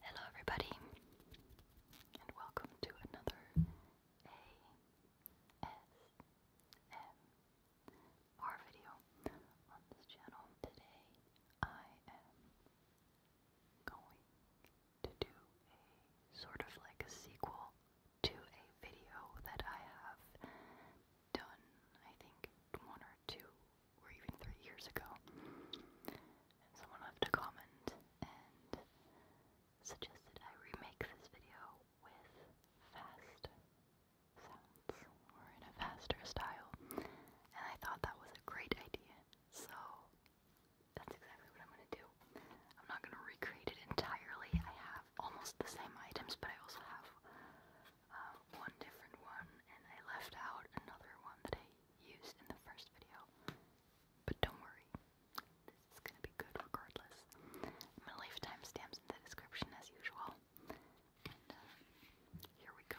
Hello, everybody, and welcome to another ASMR video on this channel. Today, I am going to do sort of like a sequel to a video that I have done, I think, one or two or even three years ago. someone left a comment and suggested I remake this video with fast sounds or in a faster style. And I thought that was a great idea. So that's exactly what I'm going to do. I'm not going to recreate it entirely. I have almost the same items, but I also have uh, one different one, and I left out another one that I used in the first video. But don't worry, this is gonna be good regardless. I'm gonna leave timestamps in the description as usual. And uh, here we go.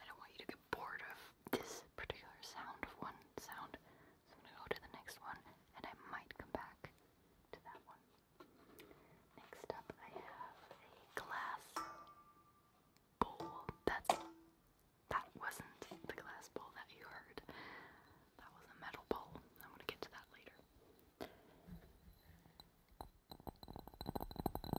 I don't want you to get bored of this particular sound of one sound. So I'm gonna go to the next one and I might come back to that one. Next up I have a glass bowl. That's that wasn't the glass bowl that you heard. That was a metal bowl. I'm gonna get to that later.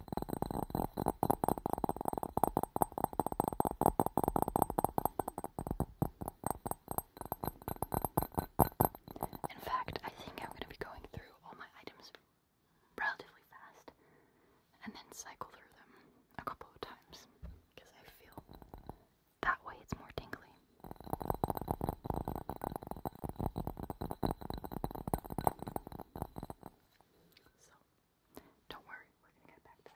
In fact, I think I'm going to be going through all my items relatively fast and then cycle through them a couple of times because I feel that way it's more tingly. So, don't worry, we're going to get back to that.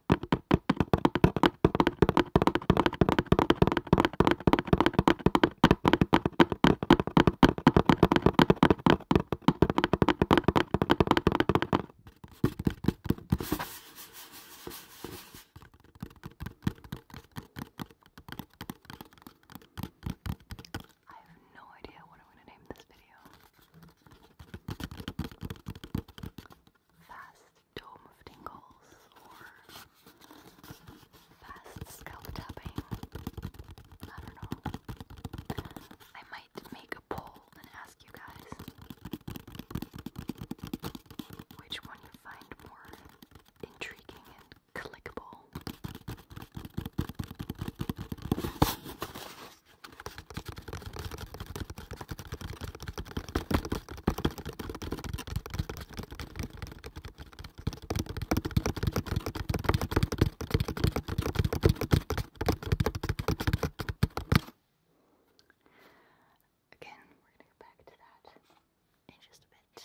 I have no idea what I'm going to name this video fast dome tingles or fast scalp tapping. I don't know. I might make a poll and ask you guys which one you find more intriguing and clickable. Again, we're going to go back to that in just a bit.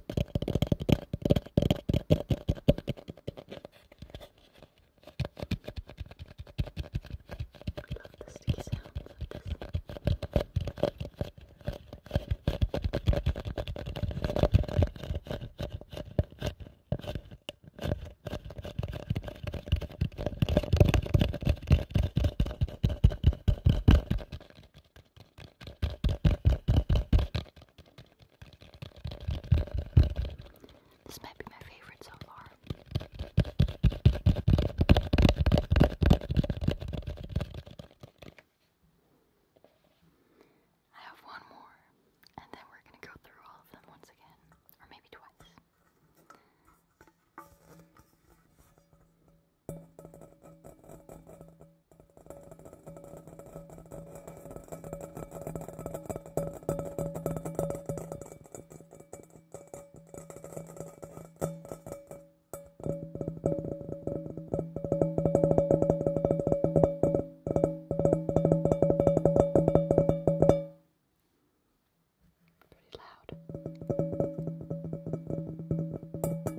I love the sticky sounds of this. This might be my favorite so far. I have one more, and then we're gonna go through all of them once again, or maybe twice. Pretty loud.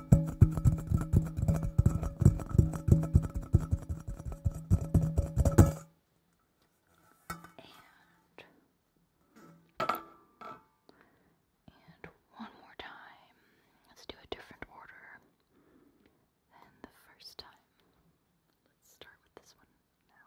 and one more time. Let's do a different order than the first time. Let's start with this one now.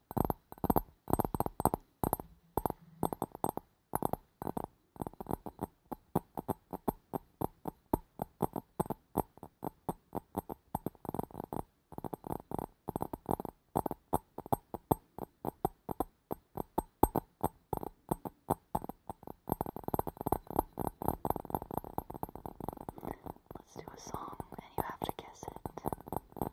Let's do a song and you have to guess it.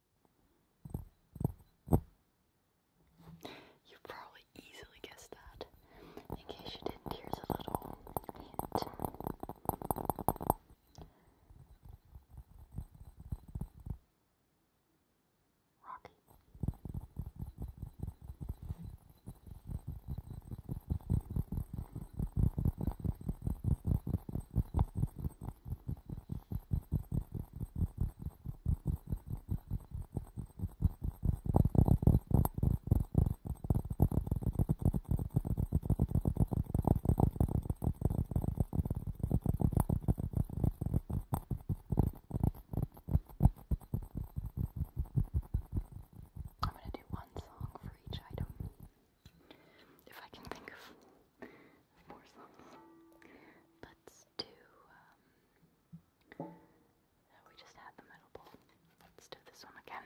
You probably easily guessed that. In case you didn't, here's a little hint. Rocky. I'm going to do one song for each item. If I can think of of course, but um, we just had the metal bowl. Let's do this one again.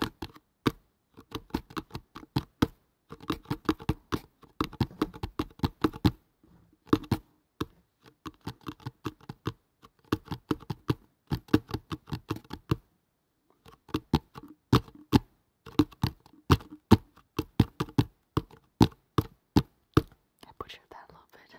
I butchered that a little bit.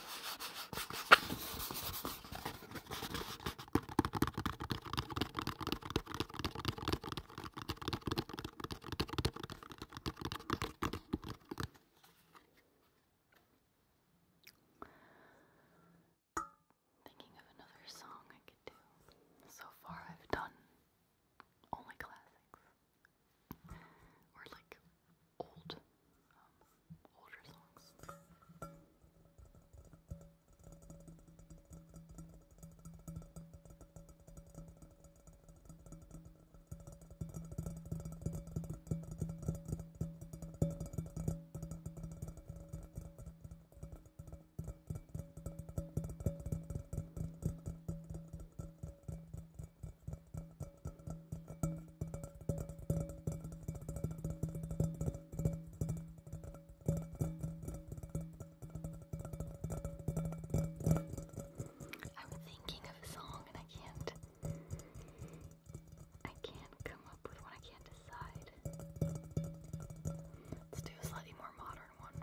Thinking of another song I could do. So far, I've done only classics. Or like old, um, older songs. I'm thinking of a song and I can't I can't come up with one, I can't decide. Let's do a slightly more modern one.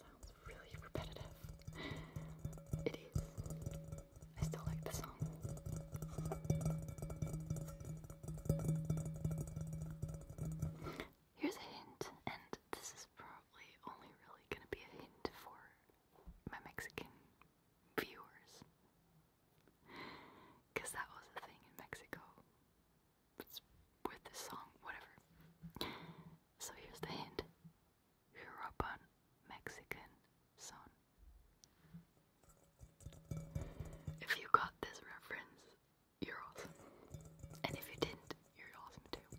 sounds really repetitive. It is. I still like the song. Here's a hint, and this is probably only really gonna be a hint for my Mexican viewers. Because that was a thing in Mexico. with this song, whatever. So here's the hint European Mexican son. If you got this reference, you're awesome. And if you didn't, you're awesome too.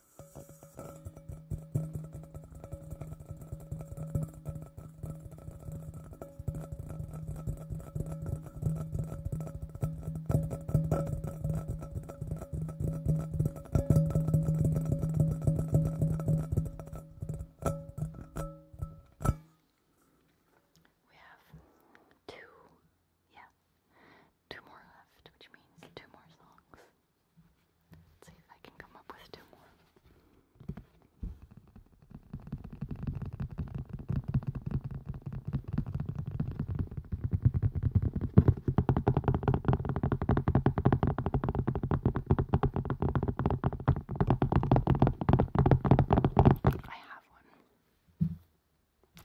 We have two, yeah, two more left, which means two more songs. Let's see if I can come up with two more. I have one.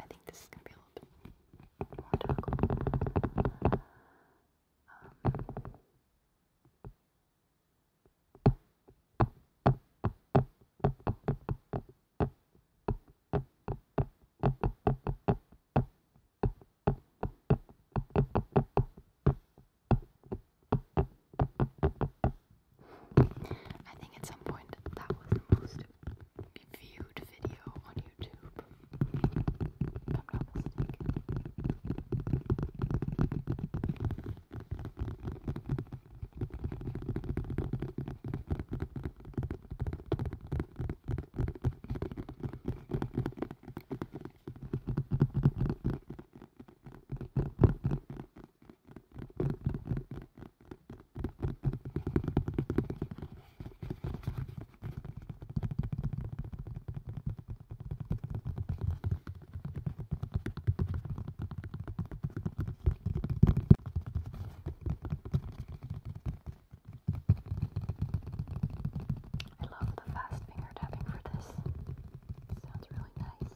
I think this is gonna be a little more tackle. Um, I think at some point that was the most view viewed video on YouTube. If I'm not mistaken. I I love the fast finger tapping for this. It sounds really nice.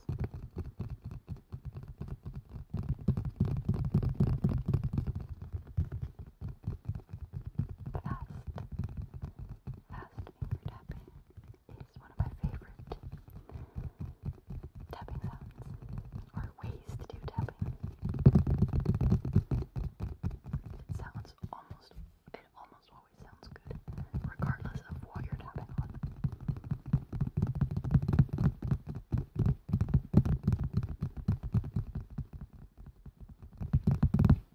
Fast, fast finger tapping is one of my favorite tapping sounds or ways to do tapping. It sounds almost, it almost always sounds good, regardless of what you're tapping on.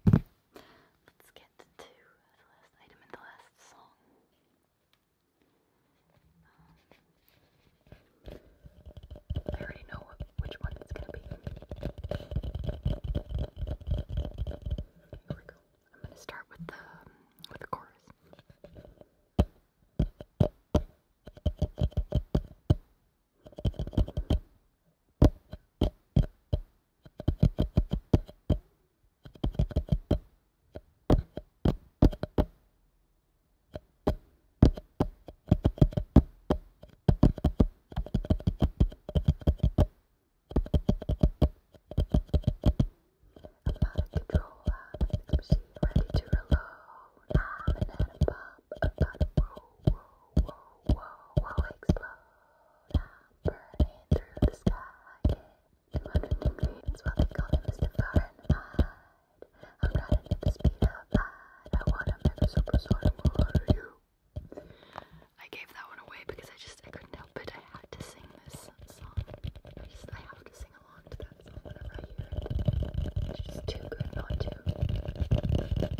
Let's get to the last item in the last song. Um, I already know which one it's gonna be. Here we go. I'm gonna start with the with the chorus out of control, I'm tipsy, ready to reload. I'm an atom bomb about to roll, roll, whoa, whoa, whoa, explode. I'm burning through the sky. Yeah. 200 degrees, that's what they call it, Mr. Fahrenheit. I'm riding at the speed of light. I wanna make a super sort of you. I gave that one away because I just I couldn't help it. I had to sing this song. I just I have to sing along to that song whenever I hear it. It's just too good not to bit like rain, and I love that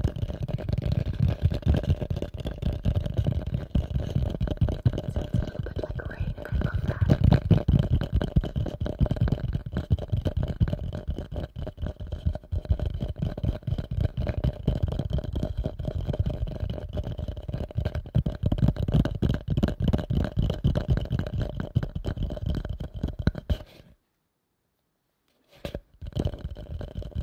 don't know if you can hear me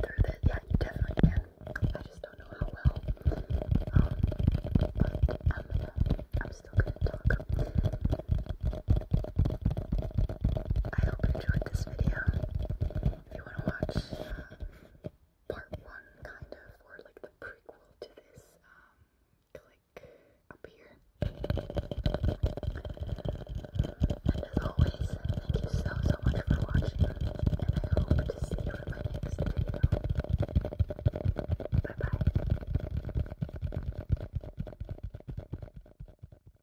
through this. Yeah, you definitely can. I just don't know how well. Um, but I'm, uh, I'm still gonna talk. I hope you enjoyed this video. If you want to watch uh, part one, kind of, or like the prequel to this, um, click up here. And as always, thank you so, so much for watching, and I hope to see you in my next video. Bye bye.